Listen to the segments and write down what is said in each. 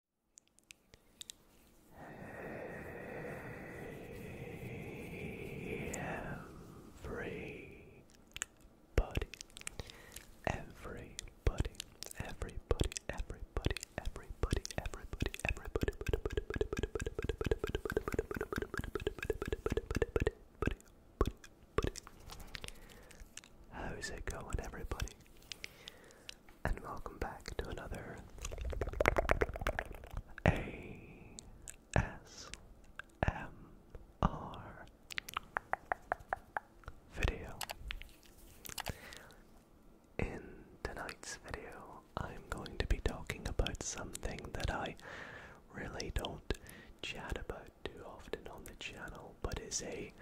Hey everybody, everybody, everybody, everybody, everybody, everybody, everybody, How's it going, everybody? and welcome back to another ASMR video. In tonight's video, I'm going to be talking about something that I really don't chat about too often on the channel, but is a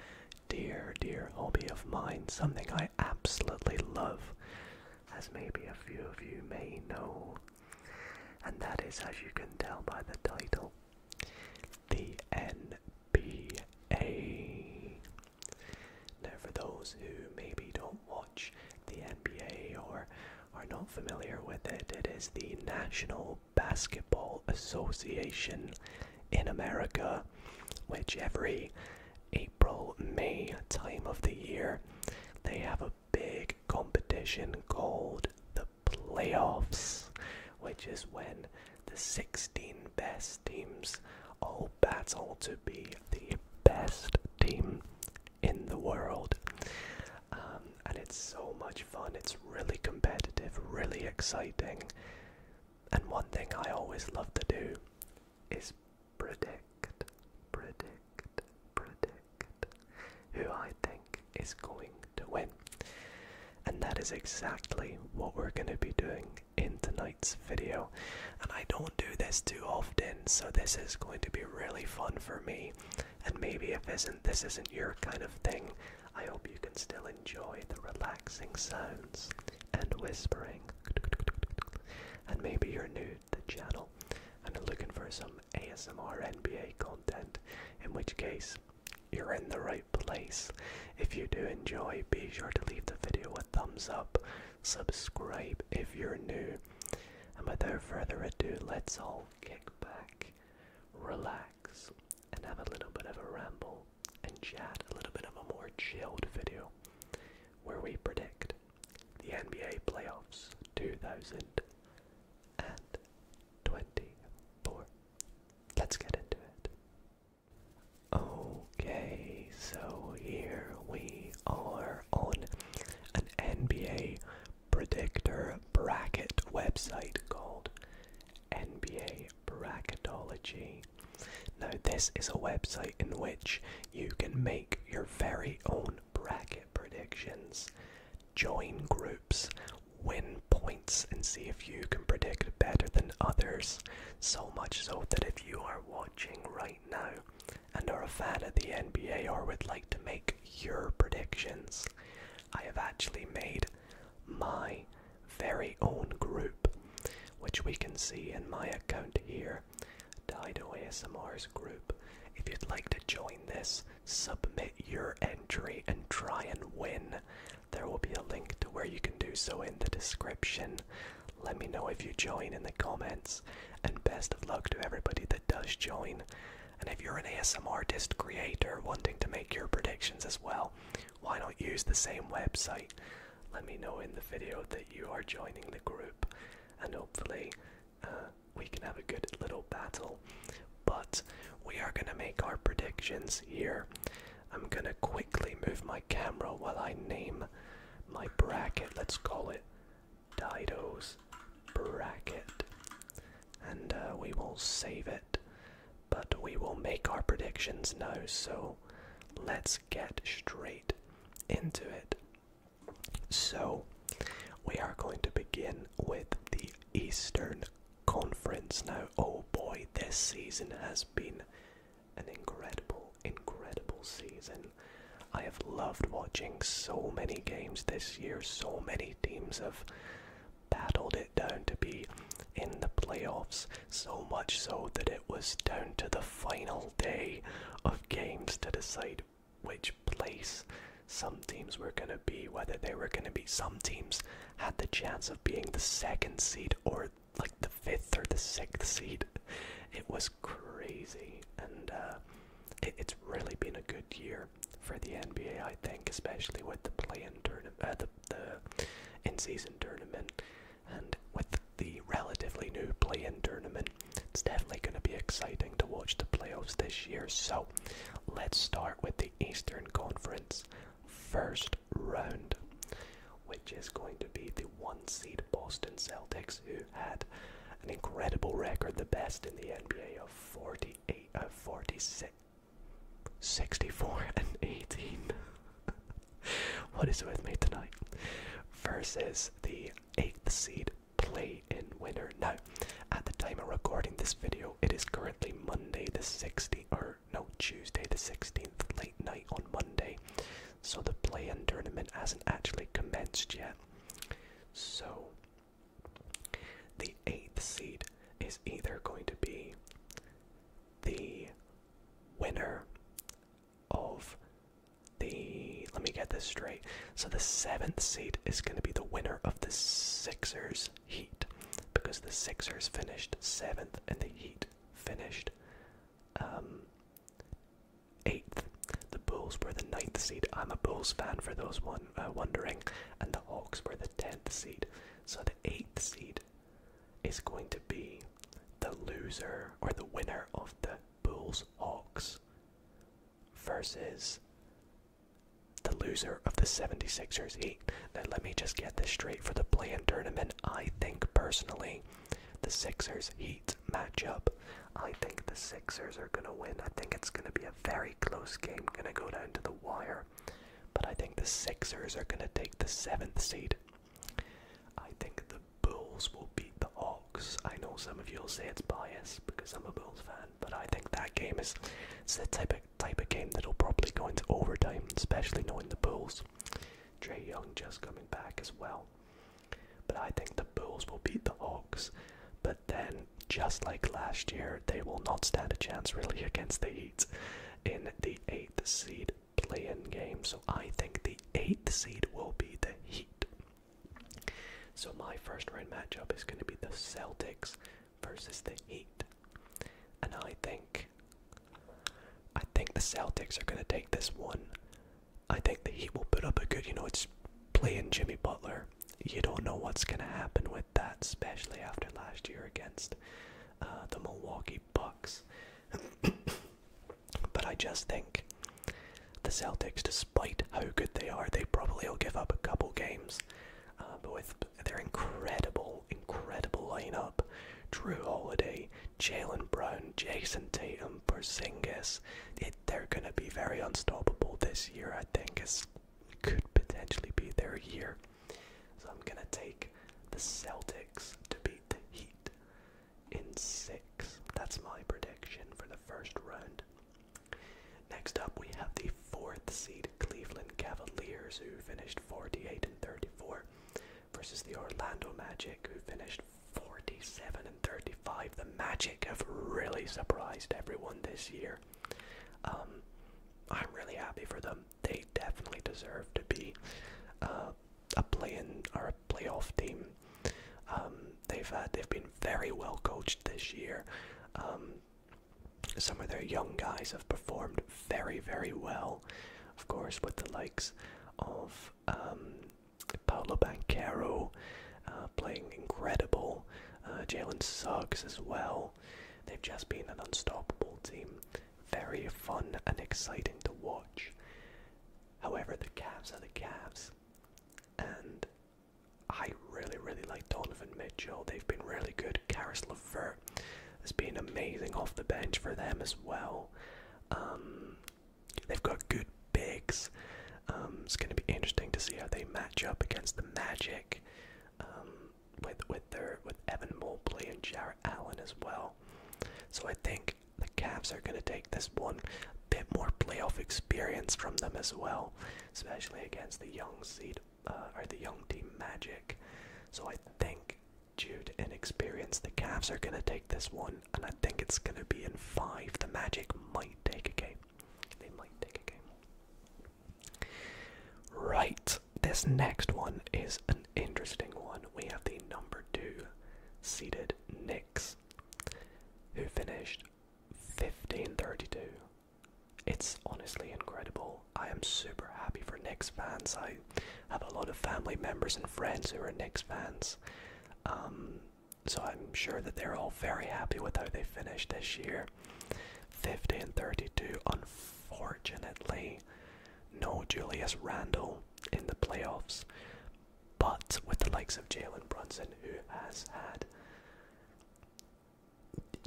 dear, dear hobby of mine, something I absolutely love, as maybe a few of you may know. And that is, as you can tell by the title, the NBA. Now, for those who maybe don't watch the NBA or are not familiar with it, it is the National Basketball Association in America, which every April, May time of the year, they have a big competition called the playoffs, which is when the 16 best teams all battle to be the best team in the world. Um, and it's so much fun, it's really competitive, really exciting. And one thing I always love to do is predict, predict, predict who I think is going to win. And that is exactly what we're going to be doing in tonight's video. And I don't do this too often, so this is going to be really fun for me. And maybe if isn't this isn't your kind of thing, I hope you can still enjoy the relaxing sounds and whispering. And maybe you're new to the channel and looking for some ASMR NBA content, in which case, you're in the right place. If you do enjoy, be sure to leave the video a thumbs up, subscribe if you're new, and without further ado, let's all kick back, relax, and have a little bit of a ramble and chat a little bit of a more chilled video where we predict the NBA playoffs 2024. Let's get into it. Okay, so here we are on an NBA predictor bracket website called NBA Bracketology. Now, this is a website in which you can make your very own bracket predictions, join groups, win points, and see if you can predict better than others. So much so that if you are watching right now and are a fan of the NBA or would like to make your predictions, I have actually made my very own group, which we can see in my account here, Dido ASMR's group. If you'd like to join this, submit your entry and try and win. There will be a link to where you can do so in the description. Let me know if you join in the comments, and best of luck to everybody that does join. And if you're an ASMR artist creator wanting to make your predictions as well, why not use the same website? Let me know in the video that you are joining the group, and hopefully, uh, we can have a good little battle. But we are gonna make our predictions here. I'm gonna quickly move my camera while I name my bracket. Let's call it Dido's bracket, and uh, we will save it but we will make our predictions now, so let's get straight into it. So, we are going to begin with the Eastern Conference. Now, oh boy, this season has been an incredible, incredible season. I have loved watching so many games this year, so many teams have battled it down to be in the playoffs. So much so that it was down to the final day of games to decide which place some teams were going to be, whether they were going to be. Some teams had the chance of being the second seed or like the fifth or the sixth seed. It was crazy, and uh, it's really been a good year for the NBA, I think, especially with the play-in tournament, uh, the in-season tournament, and with the relatively new play-in tournament, it's definitely going to be exciting to watch the playoffs this year. So, let's start with the Eastern Conference first round, which is going to be the one-seed Boston Celtics, who had an incredible record, the best in the NBA of 48 of 46. 64 and 18. what is with me tonight? Versus the 8th seed play in winner. Now, at the time of recording this video, it is currently Monday the 16th, or no, Tuesday the 16th, late night on Monday. So the play in tournament hasn't actually commenced yet. So the 8th seed is either going to be the winner of the. Let me get this straight. So the seventh seat is going to be the winner of the Sixers Heat because the Sixers finished seventh and the Heat finished um, eighth. The Bulls were the ninth seat. I'm a Bulls fan for those one uh, wondering, and the Hawks were the tenth seat. So the eighth seat is going to be the loser or the winner of the Bulls Hawks versus the loser of the 76ers Heat. Now, let me just get this straight for the play in tournament. I think personally, the Sixers Heat matchup, I think the Sixers are going to win. I think it's going to be a very close game, going to go down to the wire. But I think the Sixers are going to take the seventh seed. I think the Bulls will beat the Hawks. I know some of you will say it's biased because I'm a Bulls fan, but I think that game is the type of, type of game that'll probably go into overtime, especially knowing the Bulls. Trey Young just coming back as well. But I think the Bulls will beat the Hawks. But then, just like last year, they will not stand a chance really against the Heat in the eighth seed play-in game. So I think the eighth seed will be the Heat. So my first round matchup is going to be the Celtics versus the Heat, and I think I think the Celtics are going to take this one. I think the Heat will put up a good, you know, it's playing Jimmy Butler. You don't know what's going to happen with that, especially after last year against uh, the Milwaukee Bucks. but I just think the Celtics, despite how good they are, they probably will give up a couple games. Uh, but with their incredible, incredible lineup, Drew Holiday, Jalen Brown, Jason Tatum, Porzingis, they're going to be very unstoppable this year. I think it could potentially be their year. So I'm gonna take the Celtics to beat the Heat in six. That's my prediction for the first round. Next up, we have the fourth seed Cleveland Cavaliers, who finished 48 and 34, versus the Orlando Magic, who finished 47 and 35. The Magic have really surprised everyone this year. Um, I'm really happy for them they definitely deserve to be uh, a play or a playoff team. Um, they've they've been very well coached this year. Um, some of their young guys have performed very very well, of course, with the likes of um, Paolo Banquero uh, playing incredible, uh, Jalen Suggs as well. They've just been an unstoppable team very fun and exciting to watch. However, the Cavs are the Cavs, and I really, really like Donovan Mitchell. They've been really good. Karris LeVert has been amazing off the bench for them as well. Um, they've got good bigs. Um, it's going to be interesting to see how they match up against the Magic. Um, with with their with Evan Mobley and Jarrett Allen as well. So I think the Cavs are gonna take this one bit more playoff experience from them as well, especially against the young seed uh, or the young team Magic. So I think due to experience, the Cavs are gonna take this one, and I think it's gonna be in five. The Magic might take a game. They might take a game. Right, this next one is an interesting one. We have the number two seeded Knicks, who finished 1532. It's honestly incredible. I am super happy for Knicks fans. I have a lot of family members and friends who are Knicks fans. Um, so I'm sure that they're all very happy with how they finished this year. 50 and 32. Unfortunately, no Julius Randle in the playoffs. But with the likes of Jalen Brunson, who has had,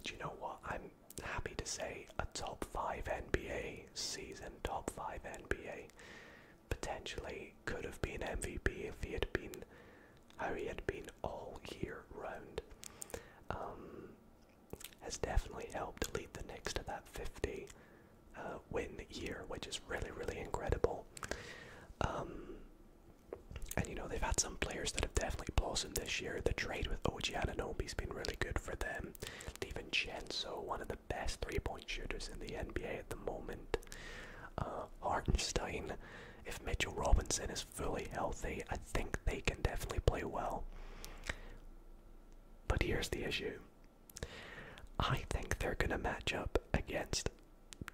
do you know what? I'm happy to say a top 5 NBA season, top 5 NBA. Potentially could have been MVP if he had been how he had been all year round. Um, has definitely helped lead the Knicks to that 50 uh, win year, which is really, really incredible. Um, and you know they've had some players that have definitely blossomed this year. The trade with OG Ananobi's been really good for them. Even DiVincenzo, one of the best three-point shooters in the NBA at the moment. Uh, Hartenstein, if Mitchell Robinson is fully healthy, I think they can definitely play well. But here's the issue I think they're going to match up against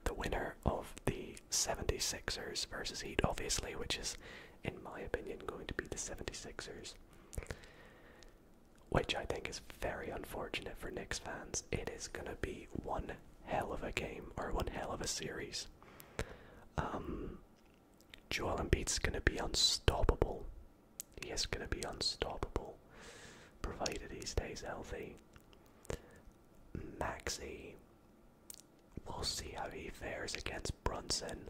the winner of the 76ers versus Heat, obviously, which is, in my opinion, going to be the 76ers. Which I think is very unfortunate for Knicks fans. It is going to be one hell of a game or one hell of a series. Um, Joel Embiid's going to be unstoppable. He is going to be unstoppable, provided he stays healthy. Maxi, we'll see how he fares against Brunson.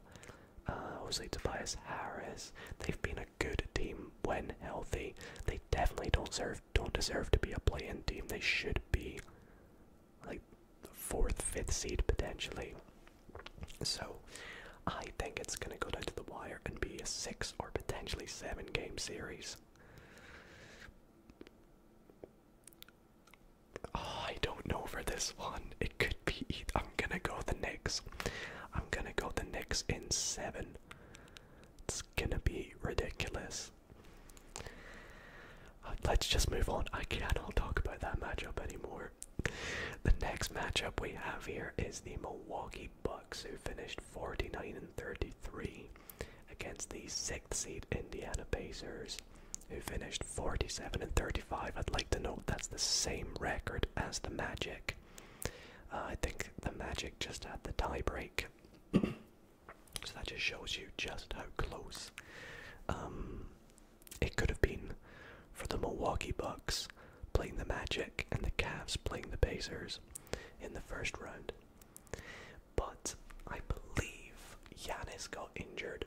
Uh, obviously, Tobias Harris. They've been a good team when healthy. They definitely don't deserve don't deserve to be a play-in team. They should be like fourth, fifth seed potentially. So I think it's going to go down to the wire and be a six or potentially seven game series. Oh, I don't know for this one. It could be. I'm gonna go the Knicks. I'm gonna go the Knicks in seven. It's gonna be ridiculous. Uh, let's just move on. I cannot talk about that matchup anymore. The next matchup we have here is the Milwaukee Bucks, who finished 49 and 33 against the sixth seed Indiana Pacers, who finished 47 and 35. I'd like to note that's the same record as the Magic. Uh, I think the Magic just had the tiebreak, so that just shows you just how close um, it could have been for the Milwaukee Bucks playing the Magic and the Cavs playing the Pacers in the first round. But I believe Giannis got injured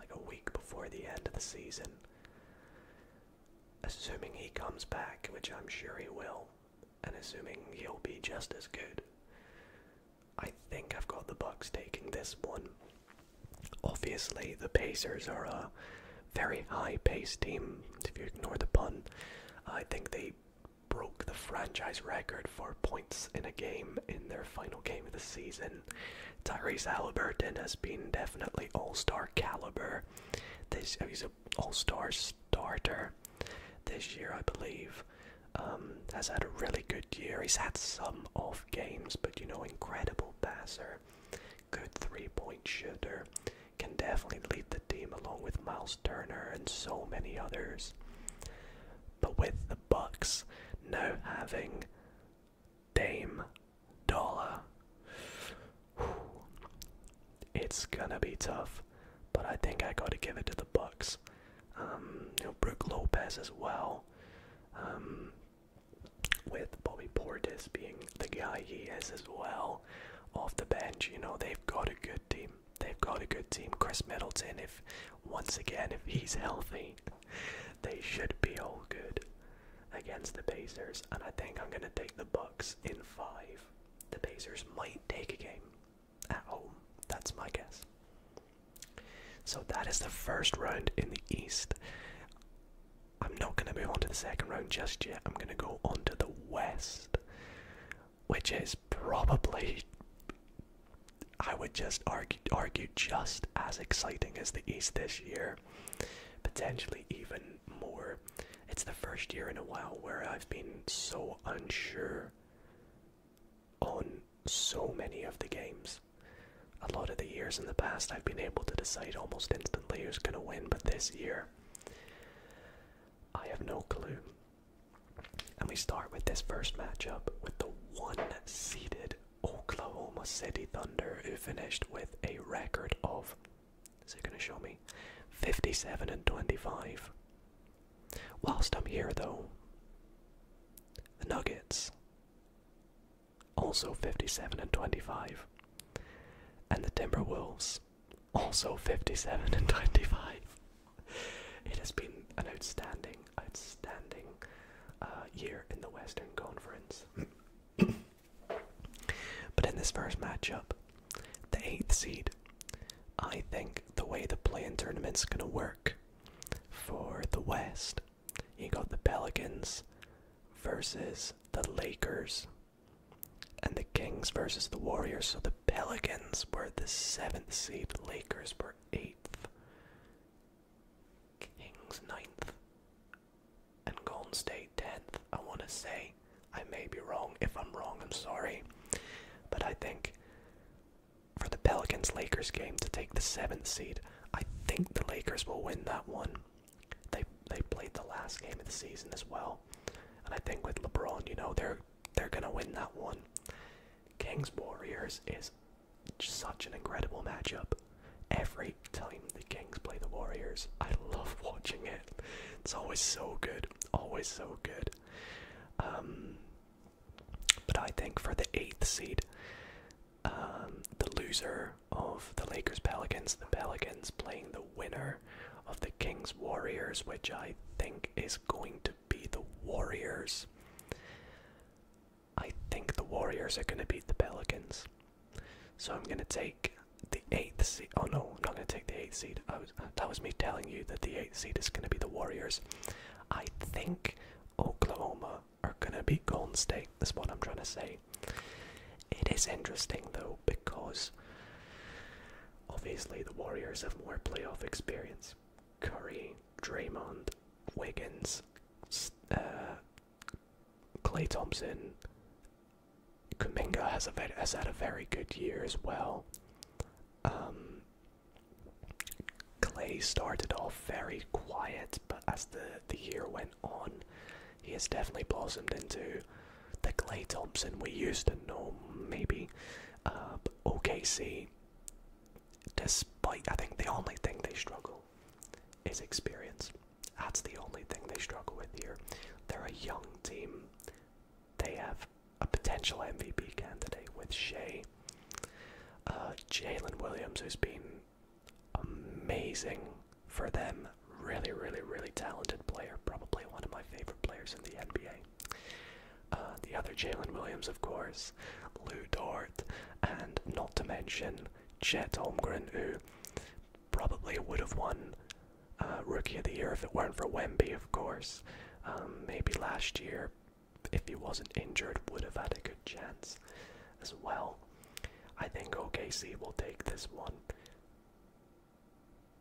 like a week before the end of the season. Assuming he comes back, which I'm sure he will, and assuming he'll be just as good, I think I've got the Bucks taking this one. Obviously, the Pacers are a very high-paced team. If you ignore the pun, I think they broke the franchise record for points in a game in their final game of the season. Tyrese Halliburton has been definitely all-star caliber. This oh, he's an all-star starter this year, I believe. Um, has had a really good year. He's had some off games, but you know, incredible passer, good three point shooter, can definitely lead the team along with Miles Turner and so many others. But with the Bucks now having Dame Dollar, it's gonna be tough. But I think I gotta give it to the Bucks. Um, you know, Brooke Lopez as well um, with Bobby Portis being the guy he is as well off the bench. You know, they've got a good team. They've got a good team. Chris Middleton, if once again, if he's healthy, they should be all good against the Pacers. And I think I'm gonna take the Bucks in five. The Pacers might take a game at home. That's my guess. So that is the first round in the East. I'm not going to move on to the second round just yet. I'm going to go on to the West, which is probably, I would just argue, argue just as exciting as the East this year. Potentially even more. It's the first year in a while where I've been so unsure on so many of the games. A lot of the years in the past, I've been able to decide almost instantly who's going to win, but this year, I have no clue. And we start with this first matchup with the one seeded Oklahoma City Thunder, who finished with a record of, is it going to show me? 57 and 25. Whilst I'm here, though, the Nuggets also 57 and 25. And the Timberwolves, also 57 and 25. It has been an outstanding, outstanding uh, year in the Western Conference. but in this first matchup, the eighth seed, I think the way the play-in tournament's going to work for the West, you got the Pelicans versus the Lakers and the Kings versus the Warriors. So the Pelicans were the seventh seed, the Lakers were eighth, Kings ninth, and Golden State tenth. I want to say I may be wrong. If I'm wrong, I'm sorry. But I think for the Pelicans Lakers game to take the seventh seed. I think the Lakers will win that one. They they played the last game of the season as well, and I think with LeBron, you know, they're they're gonna win that one. Kings Warriors is such an incredible matchup. Every time the Kings play the Warriors, I love watching it. It's always so good, always so good. Um, but I think for the eighth seed, um, the loser of the Lakers Pelicans, the Pelicans playing the winner of the Kings Warriors, which I think is going to be the Warriors. I think the Warriors are going to beat the Pelicans. So I'm going to oh, take the eighth seed. Oh no, I'm not going to take the eighth seed. that was me telling you that the eighth seed is going to be the Warriors. I think Oklahoma are gonna beat Golden State. That's what I'm trying to say. It is interesting though because obviously the Warriors have more playoff experience. Curry, Draymond, Wiggins, Clay uh, Thompson, Kuminga has a has had a very good year as well. Um, Clay started off very quiet, but as the, the year went on, he has definitely blossomed into the Clay Thompson we used to know, maybe. Um, OKC, despite, I think the only thing they struggle is experience. That's the only thing they struggle with here. They're a young team. They have a potential MVP candidate with Shea. Uh, Jalen Williams, who's been amazing for them, really, really, really talented player, probably one of my favorite players in the NBA. Uh, the other Jalen Williams, of course, Lou Dort, and not to mention Chet Holmgren, who probably would have won uh, Rookie of the Year if it weren't for Wemby, of course. Um, maybe last year, if he wasn't injured, would have had a good chance as well. I think OKC will take this one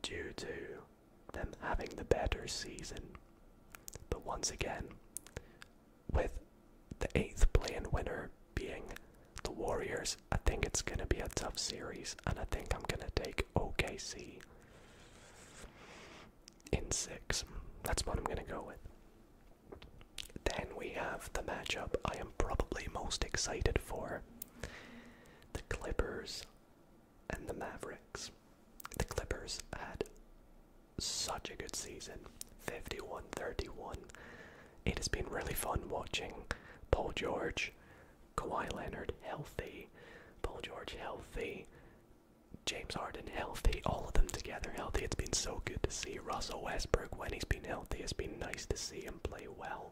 due to them having the better season. But once again, with the 8th playing winner being the Warriors, I think it's going to be a tough series, and I think I'm going to take OKC in six. That's what I'm going to go with. Then we have the matchup I am probably most excited for the Clippers and the Mavericks. The Clippers had such a good season 51 31. It has been really fun watching Paul George, Kawhi Leonard healthy, Paul George healthy, James Harden healthy, all of them together healthy. It's been so good to see Russell Westbrook when he's been healthy. It's been nice to see him play well.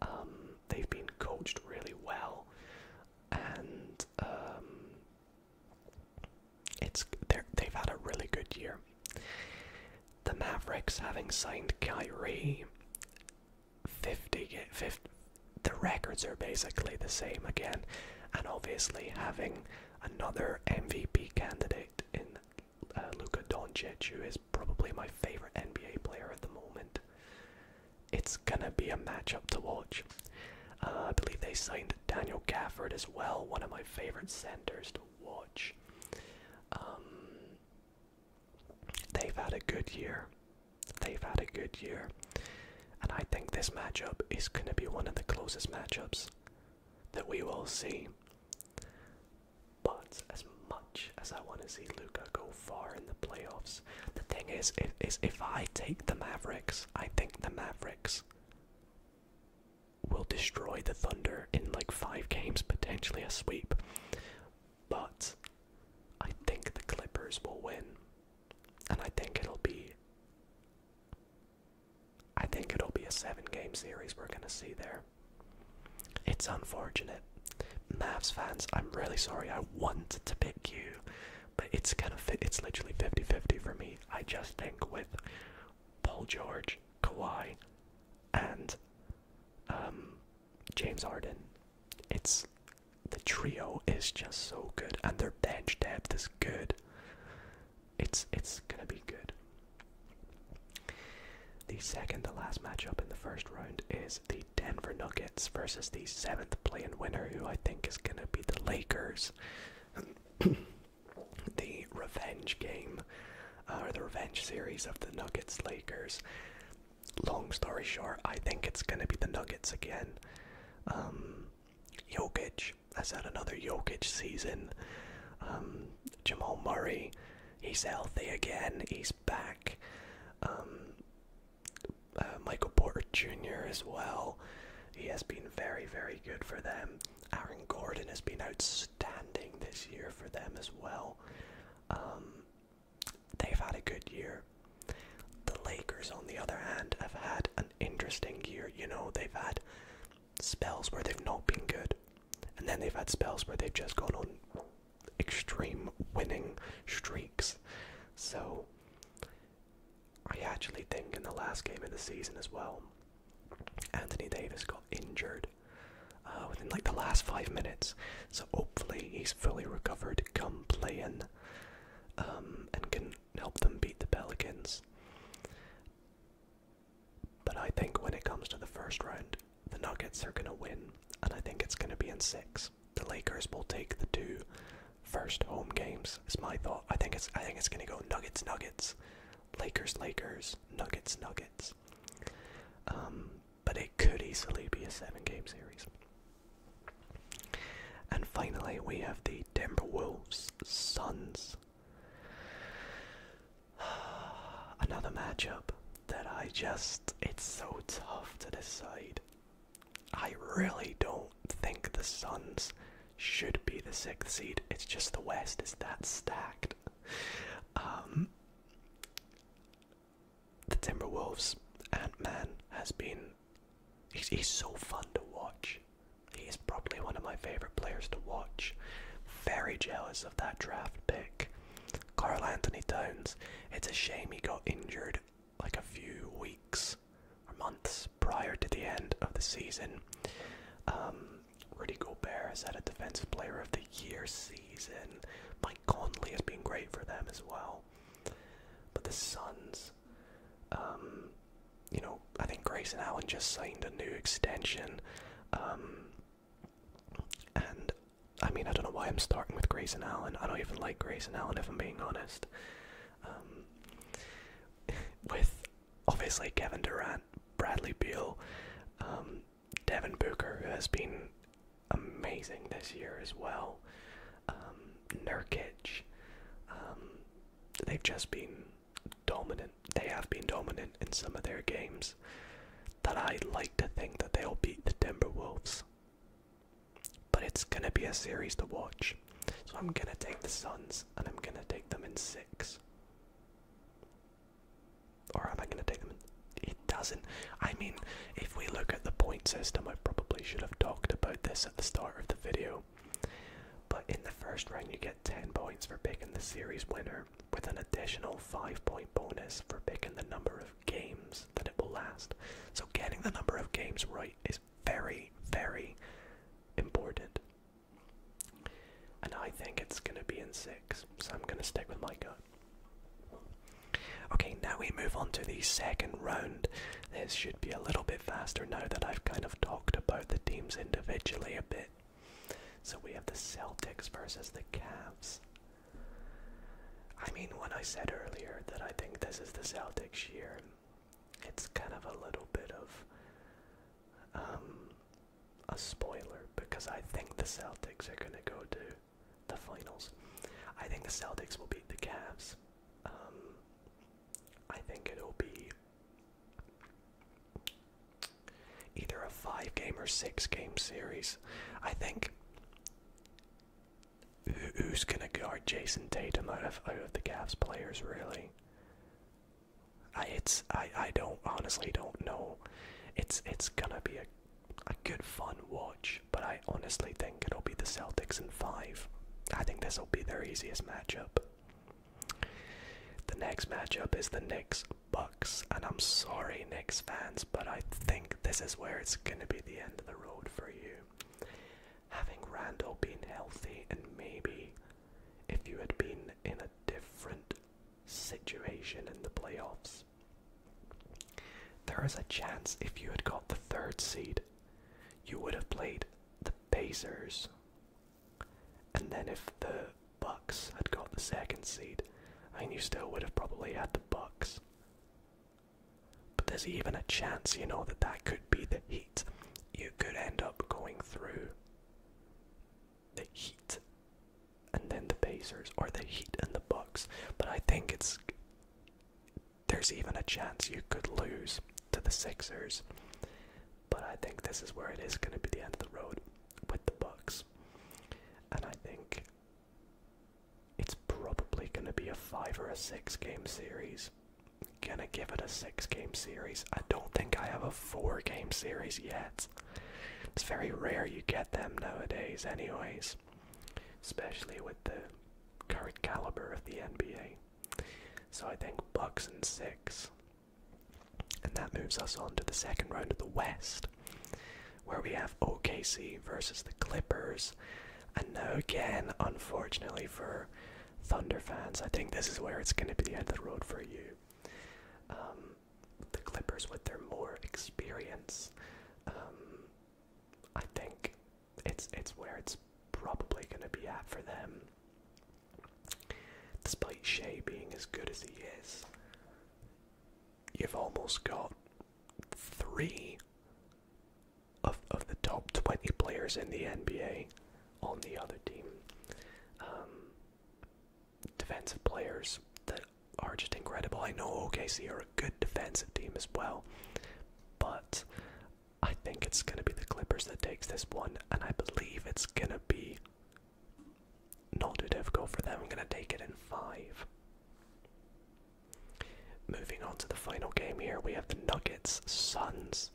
Um, they've been coached really well, and um, it's they've had a really good year. The Mavericks having signed Kyrie, 50, 50 the records are basically the same again. And obviously, having another MVP candidate in uh, Luca Doncic, who is probably my favorite NBA player at the moment, it's gonna be a matchup to watch. Uh, I believe they signed Daniel Gafford as well, one of my favorite centers to watch. Um, they've had a good year. They've had a good year. And I think this matchup is going to be one of the closest matchups that we will see. But as much as I want to see Luca go far in the playoffs, the thing is, if, if I take the Mavericks, I think the Mavericks will destroy the Thunder in like five games, potentially a sweep. But I think the Clippers will win and I think it'll be I think it'll be a seven game series we're gonna see there. It's unfortunate. Mavs fans, I'm really sorry I wanted to pick you, but it's kind of it's literally 50-50 for me. I just think with Paul George, Kawhi, and um, James Harden, it's the trio is just so good, and their bench depth is good. It's it's gonna be good. The second to last matchup in the first round is the Denver Nuggets versus the 7th playing winner, who I think is gonna be the Lakers. the revenge game, or uh, the revenge series of the Nuggets Lakers. Long story short, I think it's gonna be the Nuggets again. Um, Jokic has had another Jokic season. Um, Jamal Murray, he's healthy again. He's back. Um, uh, Michael Porter Jr. as well. He has been very, very good for them. Aaron Gordon has been outstanding this year for them as well. Um, they've had a good year. The Lakers, on the other hand, have had an interesting year. You know, they've had spells where they've not been good, and then they've had spells where they've just gone on extreme winning streaks. So, I actually think in the last game of the season as well, Anthony Davis got injured uh, within like the last five minutes. So hopefully he's fully recovered, come playing, um, and can help them beat the Pelicans. But I think when it comes to the first round, the Nuggets are going to win, and I think it's going to be in six. The Lakers will take the two first home games. Is my thought. I think it's. I think it's going to go Nuggets, Nuggets, Lakers, Lakers, Nuggets, Nuggets. Um, but it could easily be a seven-game series. And finally, we have the Timberwolves Suns. Another matchup that I just, it's so tough to decide. I really don't think the Suns should be the sixth seed. It's just the West is that stacked. Um, the Timberwolves, Ant Man has been he's, he's so fun to watch. He's probably one of my favorite players to watch. Very jealous of that draft pick. Carl Anthony Towns. It's a shame he got injured like a few weeks or months prior to the end of the season. Um, Rudy Gobert has had a Defensive Player of the Year season. Mike Conley has been great for them as well. But the Suns, um, you know, I think Grayson Allen just signed a new extension. Um, and I mean, I don't know why I'm starting with Grayson Allen. I don't even like Grayson Allen, if I'm being honest. Um, with obviously Kevin Durant, Bradley Beal, Devin Booker, who has been amazing this year as well. Um, Nurkic. Um, they've just been dominant. They have been dominant in some of their games. That I like to think that they'll beat the Timberwolves. But it's gonna be a series to watch. So I'm gonna take the Suns and I'm gonna take them in six. Or am I gonna take them it doesn't. I mean, if we look at the point system, I probably should have talked about this at the start of the video. But in the first round, you get 10 points for picking the series winner, with an additional 5 point bonus for picking the number of games that it will last. So, getting the number of games right is very, very important. And I think it's going to be in 6, so I'm going to stick with my gut. Okay, now we move on to the second round. This should be a little bit faster now that I've kind of talked about the teams individually a bit. So we have the Celtics versus the Cavs. I mean, when I said earlier that I think this is the Celtics year, it's kind of a little bit of um, a spoiler because I think the Celtics are going to go to the finals. I think the Celtics will beat the Cavs. Um, I think it'll be either a five game or six game series. I think who's gonna guard Jason Tatum out of the Cavs players really? I it's I I don't honestly don't know. It's it's gonna be a a good fun but I honestly think it'll be the Celtics in five. I think this will be their easiest matchup. The next matchup is the Knicks Bucks, and I'm sorry, Knicks fans, but I think this is where it's going to be the end of the road for you. Having Randall being healthy, and maybe if you had been in a different situation in the playoffs, there is a chance if you had got the third seed you would have played the Pacers. And then if the Bucks had got the second seed, I mean, you still would have probably had the Bucks. But there's even a chance, you know, that that could be the Heat. You could end up going through the Heat and then the Pacers, or the Heat and the Bucks. But I think it's there's even a chance you could lose to the Sixers. But I think this is where it is going to be the end of the road with the Bucks. And I think it's probably going to be a 5 or a 6 game series. Gonna give it a 6 game series. I don't think I have a 4 game series yet. It's very rare you get them nowadays, anyways especially with the current caliber of the NBA. So I think Bucks and six. And that moves us on to the second round of the West, where we have OKC versus the Clippers. And now, again, unfortunately for Thunder fans, I think this is where it's going to be the end of the road for you. Um, the Clippers, with their more experience, um, I think it's it's where it's probably going to be at for them. Despite Shea being as good as he is, you've almost got three of of the top twenty players in the NBA on the other team. Um, defensive players that are just incredible. I know OKC are good defensive team as well. But I think it's going to be the Clippers that takes this one, and I believe it's going to be not too difficult for them. I'm going to take it in five. Moving on to the final game here, we have the Nuggets Suns.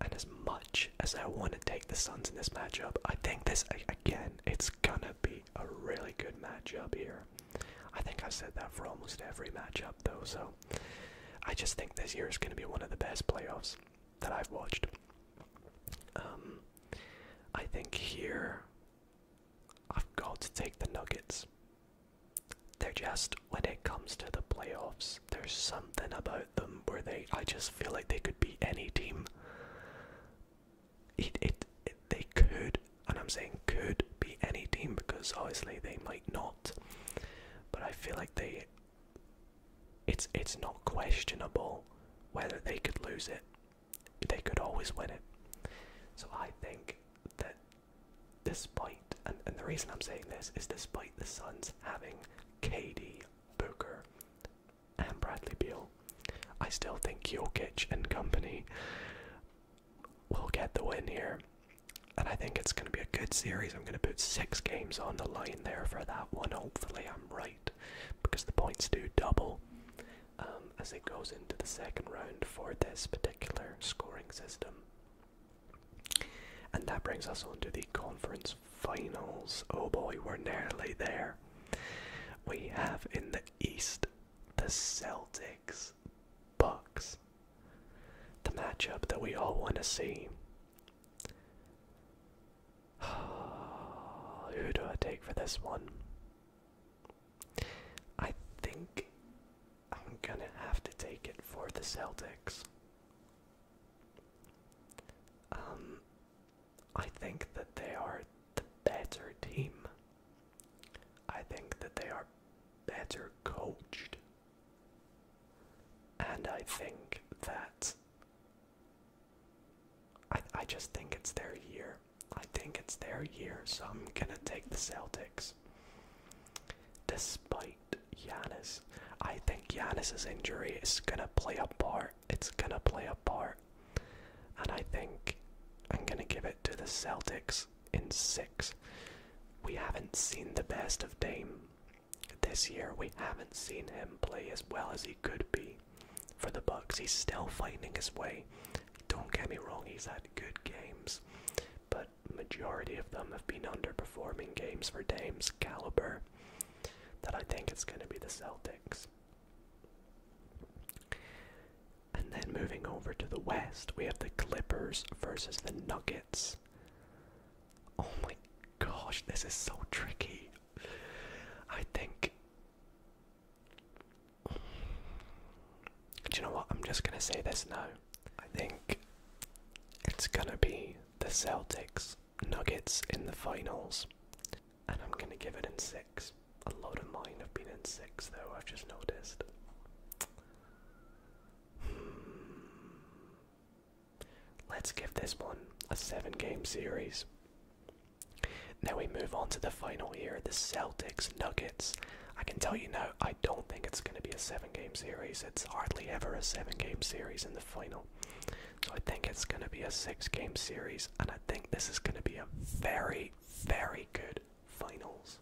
And as much as I want to take the Suns in this matchup, I think this, again, it's gonna be a really good matchup here. I think i said that for almost every matchup, though, so I just think this year is going to be one of the best playoffs that I've watched. Um, I think here I've got to take the Nuggets. They're just, when it comes to the playoffs, there's something about them where they, I just feel like they could be any team it, it, they could, and I'm saying could be any team because obviously they might not. But I feel like they, it's it's not questionable whether they could lose it. They could always win it. So I think that despite, and, and the reason I'm saying this is despite the Suns having KD, Booker, and Bradley Beal, I still think Jokic and company we will get the win here. And I think it's going to be a good series. I'm going to put six games on the line there for that one. Hopefully, I'm right because the points do double um, as it goes into the second round for this particular scoring system. And that brings us on to the conference finals. Oh boy, we're nearly there. We have in the East the Celtics. Bucks. The matchup that we all want to see. Who do I take for this one? I think I'm gonna have to take it for the Celtics. Um, I think that they are the better team. I think that they are better coached. And I think that I, I just think it's their year. I think it's their year, so I'm gonna take the Celtics. Despite Giannis, I think Giannis's injury is gonna play a part. It's gonna play a part. And I think I'm going to give it to the Celtics in six. We haven't seen the best of Dame this year. We haven't seen him play as well as he could be for the Bucks. He's still finding his way. Don't get me wrong, he's had good games, but majority of them have been underperforming games for Dame's caliber. That I think it's going to be the Celtics. And then moving over to the west, we have the Clippers versus the Nuggets. Oh my gosh, this is so tricky. I think. Do you know what? I'm just going to say this now. I think it's going to be the Celtics Nuggets in the finals. And I'm going to give it in six. A lot of mine have been in six, though, I've just noticed. Hmm. Let's give this one a seven game series. Now we move on to the final here the Celtics Nuggets. I can tell you now, I don't think it's going to be a seven game series. It's hardly ever a seven game series in the final. So I think it's going to be a six game series, and I think this is going to be a very, very good finals.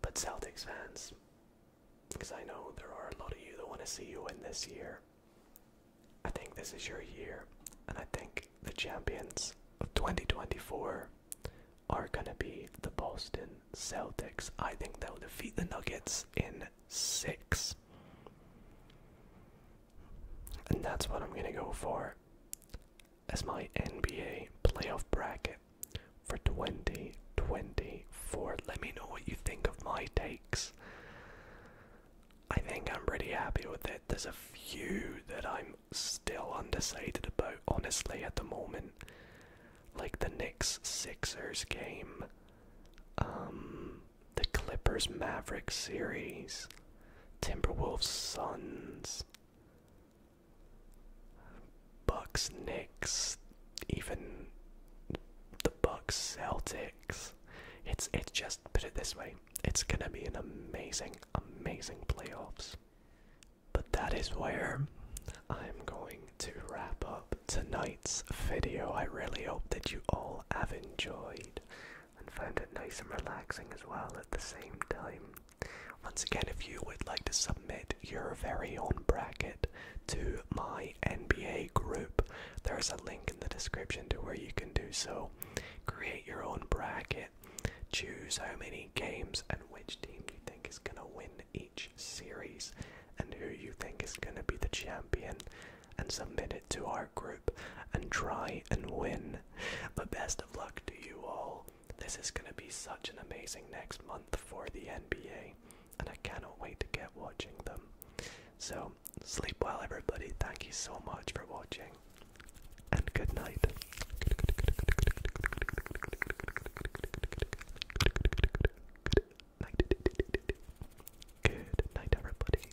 But Celtics fans, because I know there are a lot of you that want to see you win this year, I think this is your year, and I think the champions of 2024 are going to be the Boston Celtics. I think they'll defeat the Nuggets in six. And that's what I'm going to go for as my NBA playoff bracket for 2024. Let me know what you think of my takes. I think I'm pretty happy with it. There's a few that I'm still undecided about, honestly, at the moment. Like the Knicks Sixers game, um, the Clippers Mavericks series, Timberwolves, Suns, Bucks, Knicks, even the Bucks, Celtics. It's it's just put it this way. It's gonna be an amazing, amazing playoffs. But that is where I'm going to wrap up tonight's video. I really hope that you all have enjoyed and found it nice and relaxing as well at the same time. Once again, if you would like to submit your very own bracket to my NBA group, there's a link in the description to where you can do so. Create your own bracket, choose how many games and which team you think is going to win each series, and who you think is going to be the champion and submit it to our group and try and win. But best of luck to you all. This is going to be such an amazing next month for the NBA, and I cannot wait to get watching them. So, sleep well, everybody. Thank you so much for watching, and good night. Good night, everybody.